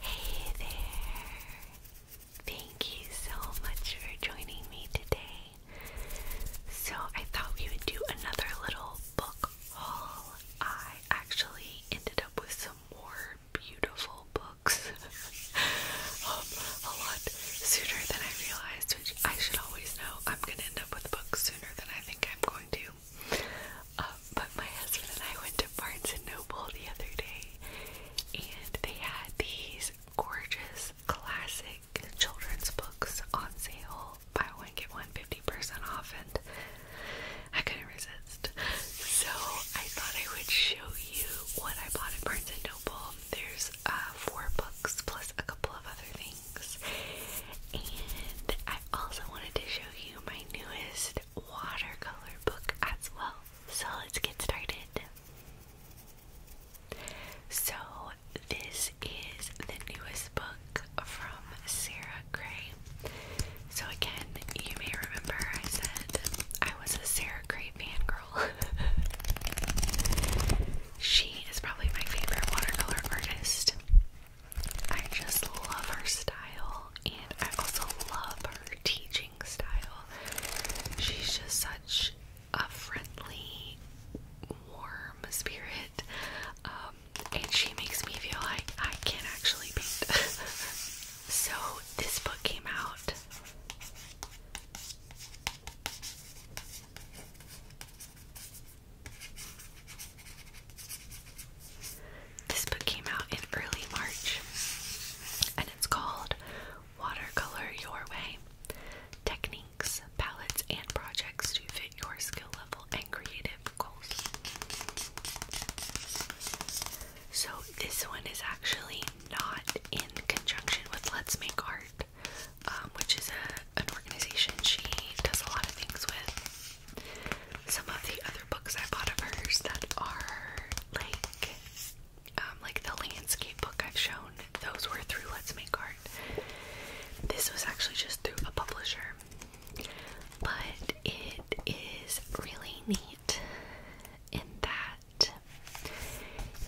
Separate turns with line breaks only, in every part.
Hey there! Thank you so much for joining me today. So, I thought we would do another little book haul. I actually ended up with some more beautiful books um, a lot sooner than I realized, which I should always know. I'm gonna end up with books sooner than I think I'm going to. Um, but my husband and I went to Barnes and Noble the other day, and they had these gorgeous classic children's books on sale. Buy one get one 50% off, and I couldn't resist. So I thought I would show you what I bought at Barnes and Noble. There's uh, four books plus a couple of other things, and I also wanted to show you my newest watercolor book as well. So let's get started. So, this is the newest book from Sarah Gray. So, again, you may remember I said I was a Sarah Gray fan girl. she is probably my favorite watercolor artist. I just love her style and I also love her teaching style. She's just such a friendly, warm spirit, um, and she makes me feel like I can actually paint. so, this book came out. This book came out in early March and it's called Watercolor Your Way Techniques, Palettes, and Projects to Fit Your Skill Level and Creative Goals. So, this one is actually not in conjunction with Let's Make Art, um, which is an organization she does a lot of things with some of the other books I bought of hers that are like um, like the landscape book I've shown, those were through Let's Make Art. This was actually just through a publisher, but it is really neat in that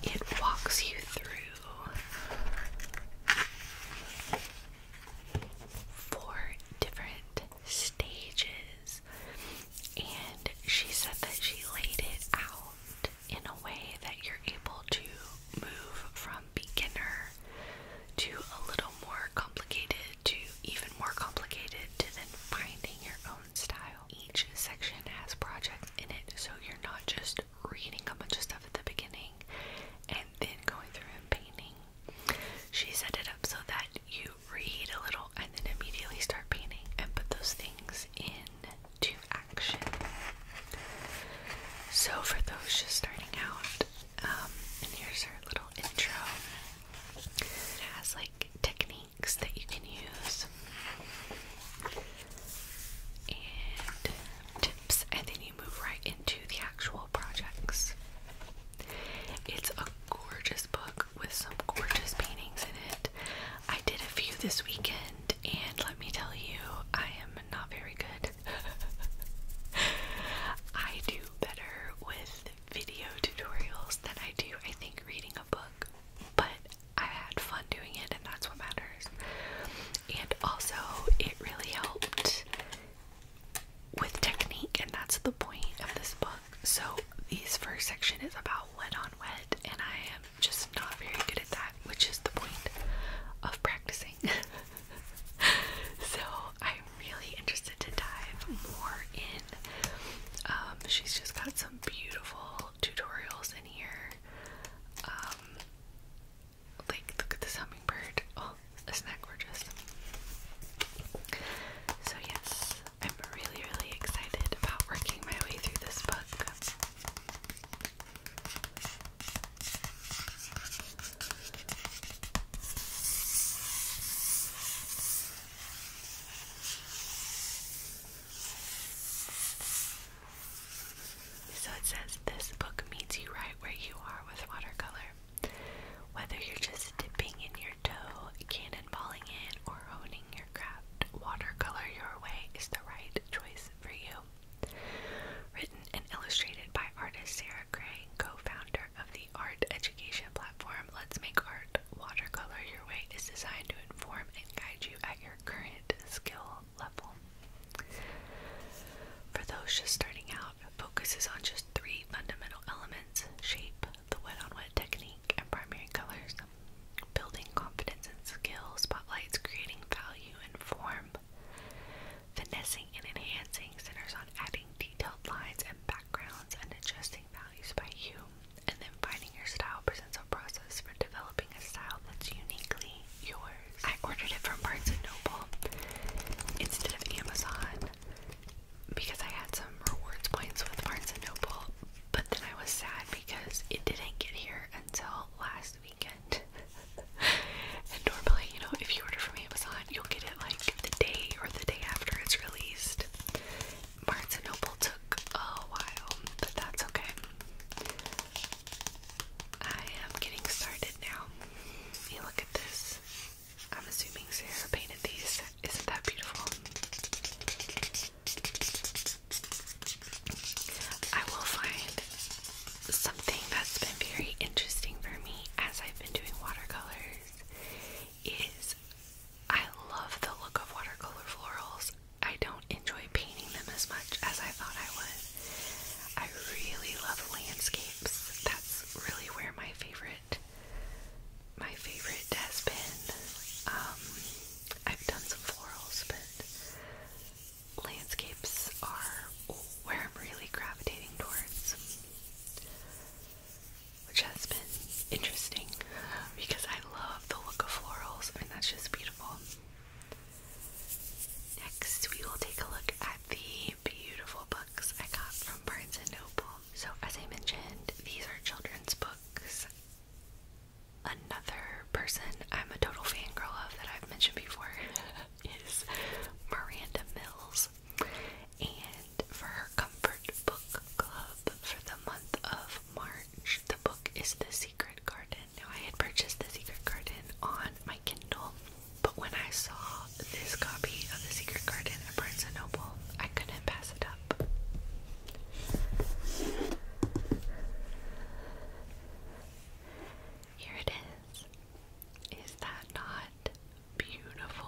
it walks you through four different stages and she said that she laid it out in a way that you're able to move from beginner to a little more complicated to even more complicated to then finding your own style. Each section has projects in it, so you're not just reading a bunch of stuff at the beginning and then going through and painting. She set it up so that you read a little and then immediately start painting and put those things into action. So, for those just starting out, um, and here's our little intro. It has like techniques that you can use and tips, and then you move right into the actual projects. It's a gorgeous book with some gorgeous paintings in it. I did a few this weekend, and let me tell you, I am not very good. I do better with video tutorials than I do, I think, reading a book, but I had fun doing it, and that's what matters. And also, it really helped with technique, and that's the point of this book so this first section is about wet on wet, and I am just not very good at that, which is the point of practicing. so I'm really interested to dive more in. Um, she's just got some beautiful tutorials in here. Um, like look at this hummingbird. Oh, isn't that gorgeous? So yes, I'm really, really excited about working my way through this book. So it says this book meets you right where you are with watercolor. Whether you're just dipping in your your cannonballing it, or honing your craft, watercolor your way is the right choice for you. Written and illustrated by artist Sarah Gray, co founder of the art education platform Let's Make Art, Watercolor Your Way is designed to inform and guide you at your current skill level. For those just starting out, focuses on just three fundamental elements shape, the wet on wet technique and primary colors, building confidence and skill, spotlights creating value and form, finessing and enhancing centers on adding detailed lines and backgrounds and adjusting values by hue, and then finding your style presents a process for developing a style that's uniquely yours. I ordered it from Barnes & Noble instead of Amazon because I had some rewards points with Barnes and Noble, but then I was sad because it didn't get here until last weekend. and normally, you know, if you order from Amazon, you'll get it like the day or the day after it's released. Barnes and Noble took a while, but that's okay. I am getting started now. look at this. I'm assuming Sarah painted these. Isn't that beautiful? I will find something that's been very interesting for me as I've been doing watercolors is I love the look of watercolor florals. I don't enjoy painting them as much as I thought I would. I really love landscapes. That's really where my favorite my favorite has been, um, I've done some florals, but landscapes are where I'm really gravitating towards, which has been interesting because I love the look of florals. I mean, that's just beautiful. Next, we will take a look at the beautiful books I got from Barnes & Noble so as I mentioned, these are children's books. Another person I'm a total fangirl of that I've mentioned before is Miranda Mills. And for her comfort book club for the month of March, the book is The Secret Garden. Now, I had purchased The Secret Garden on my Kindle, but when I saw this copy of The Secret Garden at Barnes & Noble, I couldn't pass it up. Here it is. Is that not beautiful?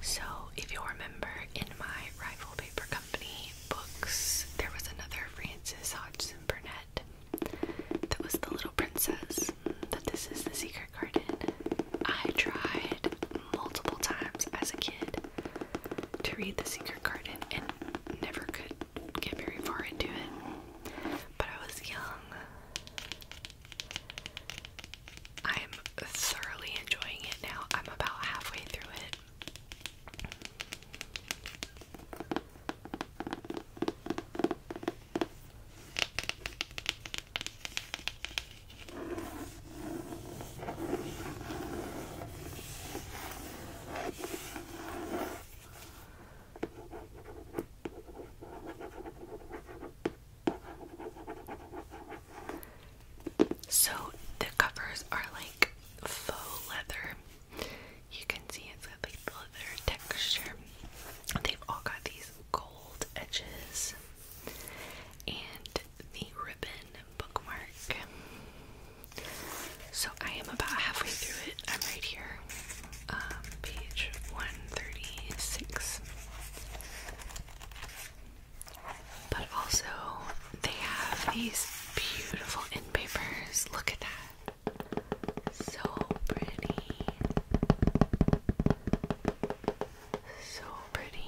So, if you remember in my Rival Paper Company books, there was another Frances Hodgson Burnett that was the little princess. but this is the secret kindergarten, I tried multiple times as a kid to read The Secret Garden and never could get very far into it. But I was young. I'm thoroughly enjoying it now. I'm about halfway through it. So the covers are like faux leather. You can see it like leather texture. They've all got these gold edges. And the ribbon bookmark. So I am about halfway through it. I'm right here, um, page 136. But also, they have these beautiful end Look at that. So pretty. So pretty.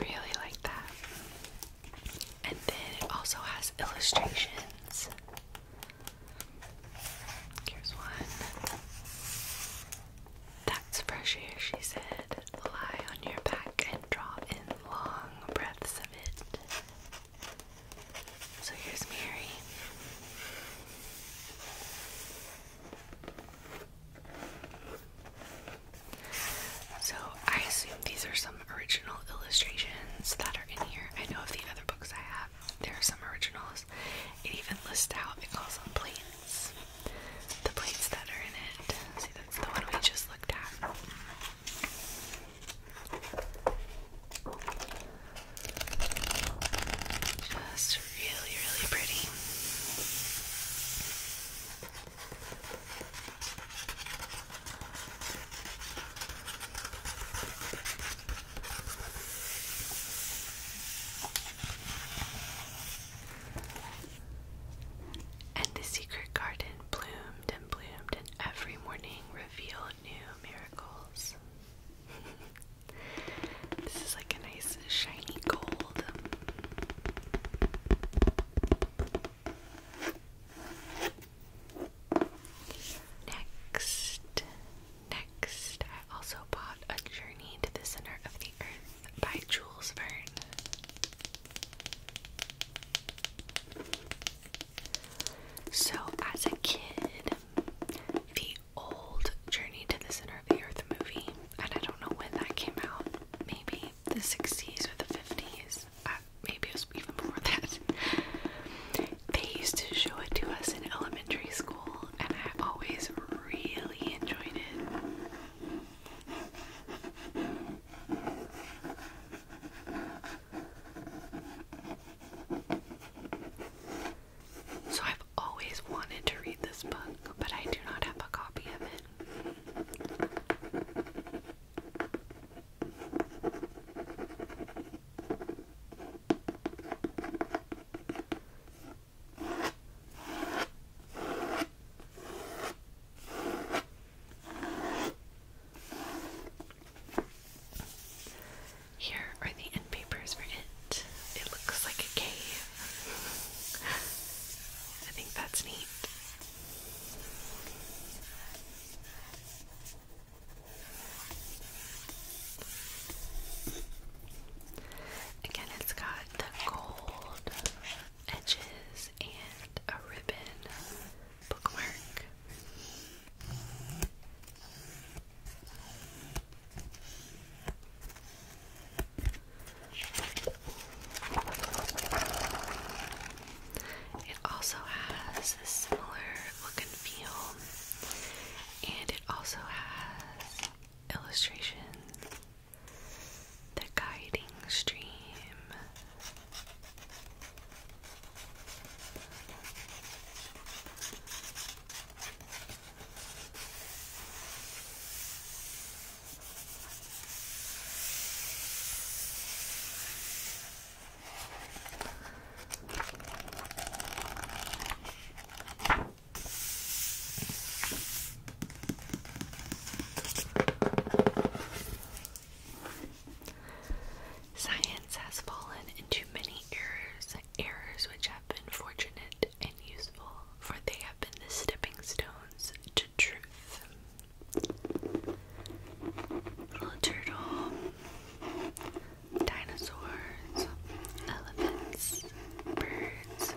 Really like that. And then it also has illustrations. Here's one. That's fresh air, she said. Lie on your back and draw in long breaths of it. So here's Mary. So I assume these are some original illustrations that are in here. I know of the other books I have, there are some original it even lists out, it calls them plates. The plates that are in it. See, that's the one we just looked at. Just really, really pretty. And the secret garden bloomed and bloomed, and every morning revealed new miracles. this is like a nice shiny gold. Next, Next, I also bought A Journey to the Center of the Earth by Jules Verne. So, as a kid, the old Journey to the Center of the Earth movie, and I don't know when that came out, maybe the 60s or the 50s, uh, maybe even before that. They used to show it to us in elementary school, and I always really enjoyed it. So I've always wanted to read this book, but I do not have a copy of it. Here are the end for it. It looks like a cave. I think that's neat. Again, it's got the gold edges and a ribbon bookmark. It also has a similar look and feel, and it also has illustration, the guiding stream. Science has fallen into many errors, errors which have been fortunate and useful, for they have been the stepping stones to truth. Little turtle dinosaurs, elephants, birds.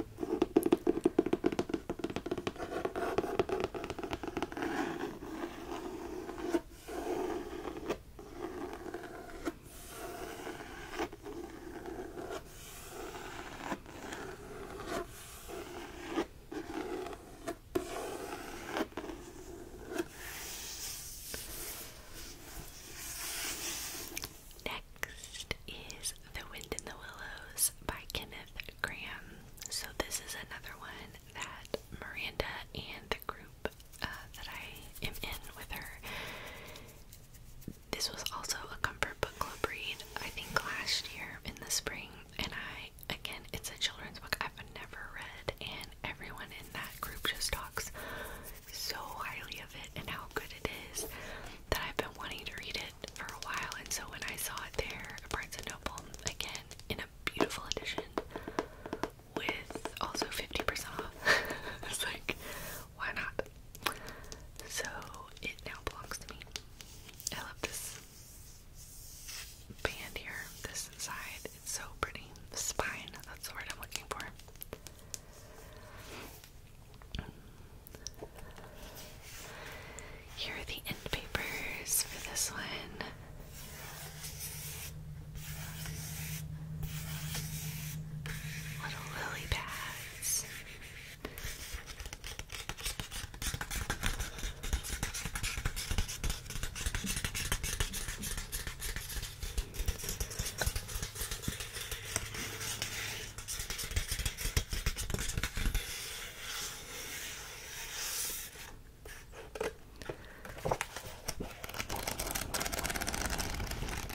Next is The Wind in the Willows by Kenneth Graham. So, this is another one that Miranda and the group uh, that I am in with her. This was also a comfort book club read, I think, last year in the spring. And I, again, it's a children's book I've never read, and everyone in that group just talks so highly of it and how good it is that I've been wanting to read it for a while. And so when I saw it there *Prince & Noble, again, in a beautiful edition with also 50% off, It's like, why not? So it now belongs to me. I love this band here, this inside, It's so pretty. Spine, that's the word I'm looking for. Here are the end papers for this one. Little lily pads.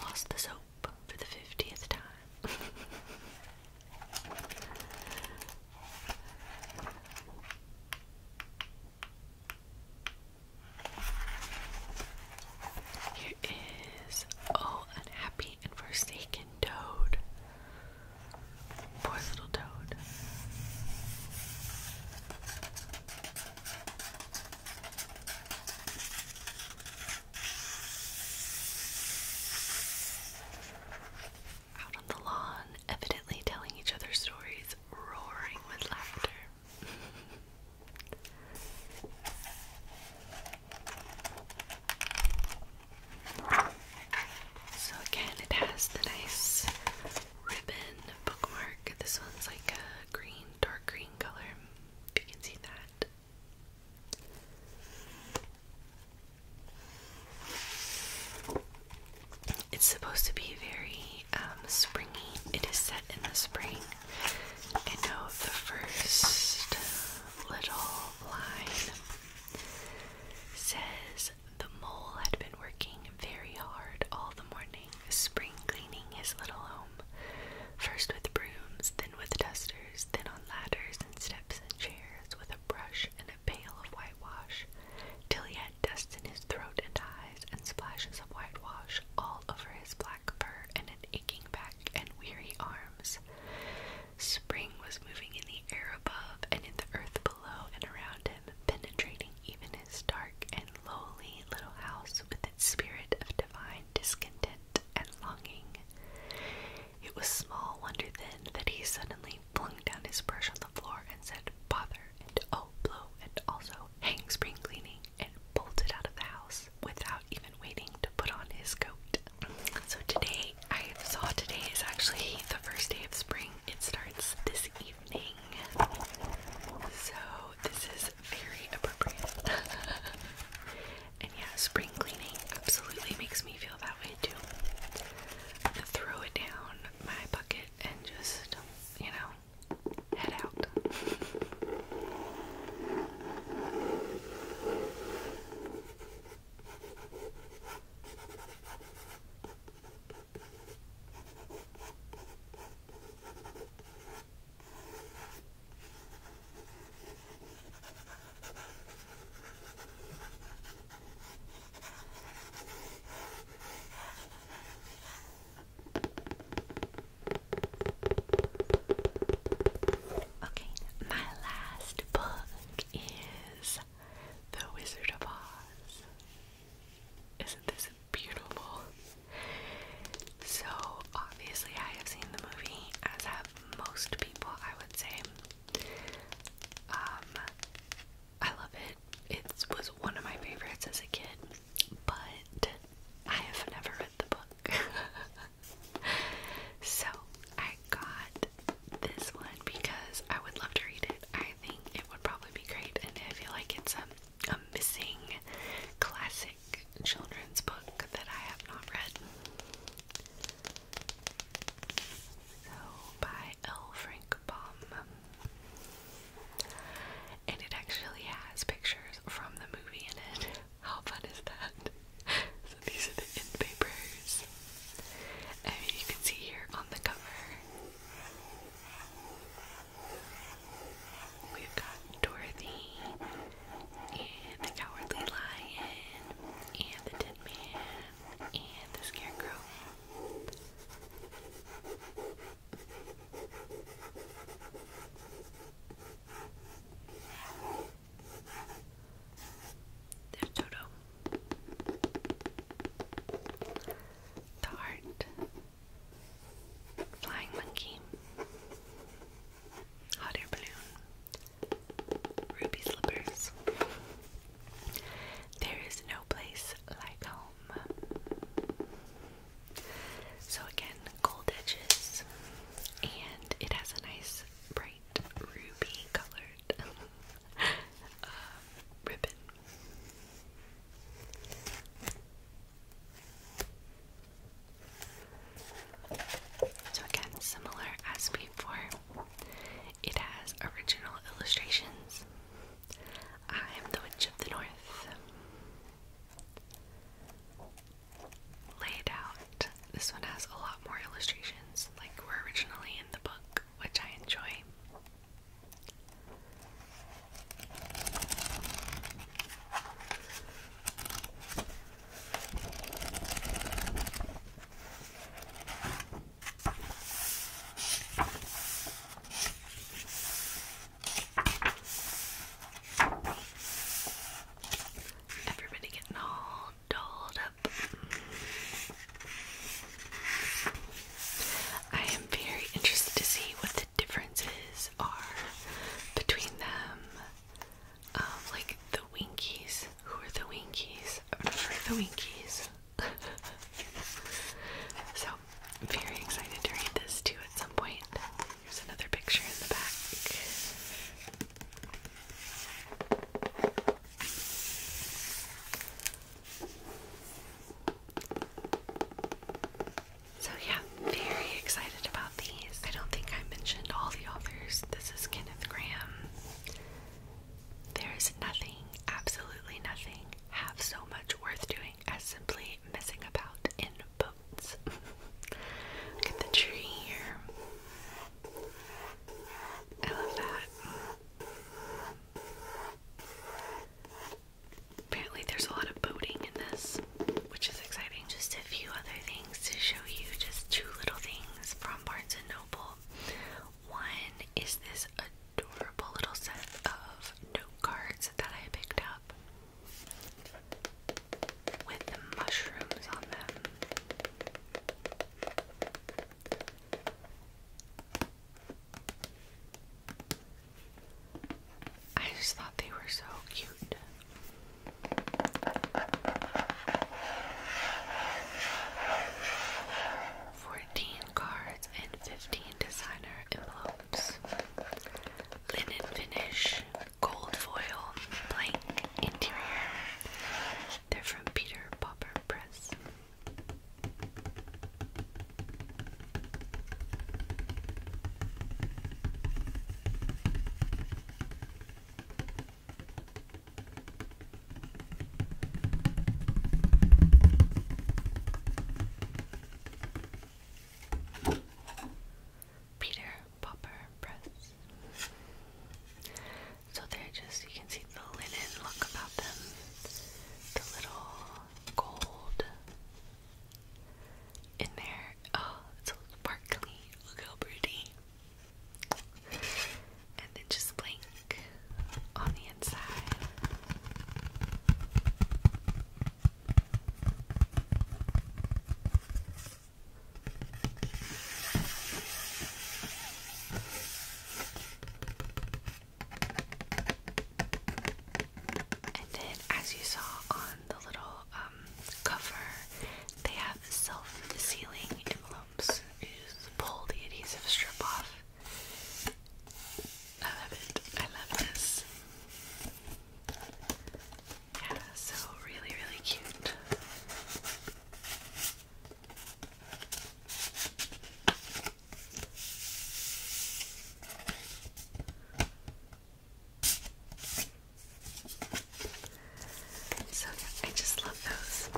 Lost the soap for the 50th time. Here is Oh Unhappy and Forsaken Toad. Poor little toad. Out on the lawn, evidently telling each other stories, roaring with laughter. So again, it has the nice ribbon bookmark. This one's like a green, dark green color. If you can see that. It's supposed to be very um, springy. It is set in the spring, and now the first little line says the mole had been working very hard all the morning, spring cleaning his little home, first with brooms, then with dusters, then on ladders and steps and chairs, with a brush and a pail of whitewash, till he had dust in his throat and eyes and splashes of whitewash all over his black and an aching back and weary arms. Spring was moving in the air above and in the earth below and around him, penetrating even his dark and lowly little house with its spirit of divine discontent and longing. It was small wonder then that he suddenly flung down his brush on the floor and said, Bother, and oh, blow, and also hang spring cleaning, and bolted out of the house without even waiting to put on his coat. So today, I saw today is actually the first day of spring. It starts this evening. So this is very appropriate. and yeah, spring cleaning absolutely makes me feel that way too. to throw it down my bucket and just, you know, head out. Okay, my last book is The Wizard of Oz. Isn't this beautiful? So, obviously, I have seen the movie, as have most people, I would say. Um, I love it. It was one of my favorites as a kid, but I have never the book. so I got this one because I would love to read it. I think it would probably be great, and I feel like it's a, a missing classic children's book that I have not read. So, by L. Frank Baum. And it actually has pictures from the movie in it. How fun is that? So these are the end papers. you can see here on the cover. We've got Dorothy and the Cowardly Lion and the Tin Man and the Scarecrow. There's Toto. The heart. Flying monkey. Hot air balloon. Ruby slippers. There is no place like home. So again, gold edges, and it has a nice bright ruby colored uh, ribbon. So again, similar as before, it has original illustrations. I'm the Witch of the North laid out. This one has a lot more illustrations like were originally in the book, which I enjoy. Everybody getting all dolled up. I am very interested to see what the differences are between them. Um, like the Winkies. Who are the Winkies? the Winkies? so, I'm very excited to read this too at some point. Here's another picture in the back. So, yeah, very excited about these. I don't think I mentioned all the authors. This is Kenneth Graham. There is nothing, absolutely nothing, half so much worth doing as simply messing about in boats. Look at the tree here. I love that. Apparently, there's a lot of boating in this, which is exciting. Just a few other things to show you, just two little things from Barnes and Noble. One is this adorable little set of note cards that I picked up with the mushrooms on them. I just thought they were so cute. Fourteen cards and fifteen designer envelopes. Linen finish gold foil blank interior. They're from Peter Popper Press. Peter Popper Press. So they just, you can see the linen look about them, the little gold in there. Oh, it's so sparkly. Look how pretty. And then just blank on the inside. And then, as you saw on the little um, cover, they have self-sealing envelopes. You pull the adhesive strip off. I love it. I love this. Yeah, so really, really cute. So yeah, I just love those.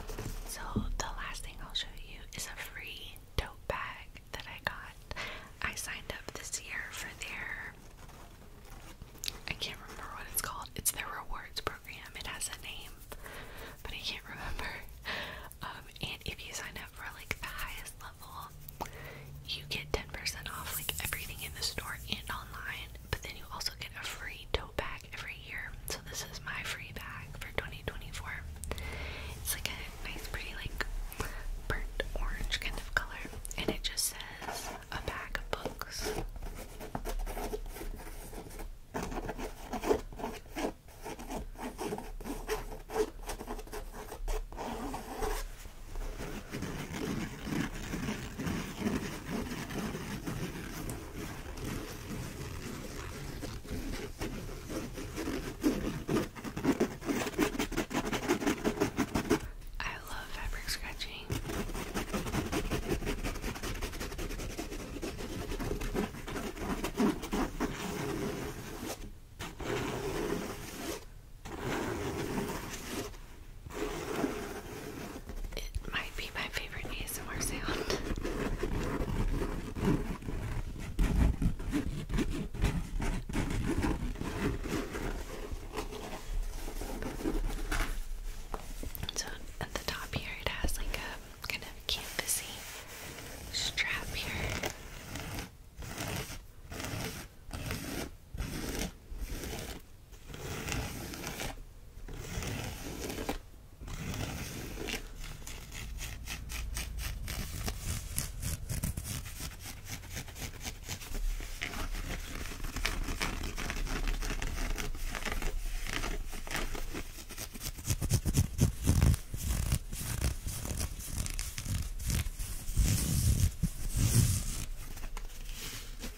So the last thing I'll show you is a free tote bag that I got. I signed up this year for their I can't remember what it's called. It's their rewards program. It has a name, but I can't remember. Um, and if you sign up for like the highest level, you get 10% off like everything in the store and online, but then you also get a free tote bag every year. So this is my free bag for 2024. It's like a nice pretty like burnt orange kind of color and it just says a bag of books. I love fabric scratching. It might be my favorite ASMR sound. So at the top here, it has like a kind of canvasy strap here.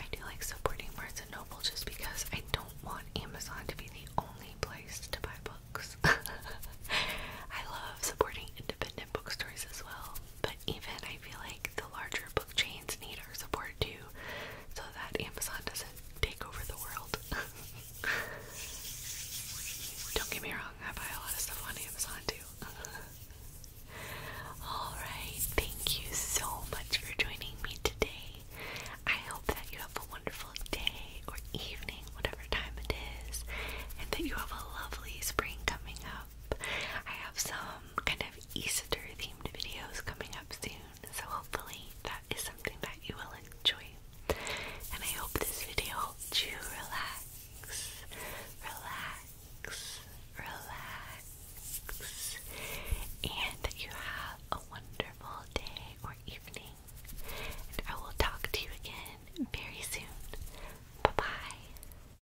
I do like supporting Barnes and Noble just because I don't want Amazon to be the only place to buy books. I love supporting independent bookstores as well, but even I feel like the larger book chains need our support too, so that Amazon doesn't take over the world. Don't get me wrong, I buy a lot of stuff on Amazon too. Alright, thank you so much for joining me today. I hope that you have a wonderful day or evening, whatever time it is, and that you have a lovely spring coming up. I have some um, kind of Easter themed videos coming up soon. So hopefully that is something that you will enjoy. And I hope this video helped you relax, relax, relax, and you have a wonderful day or evening. And I will talk to you again very soon. Bye bye.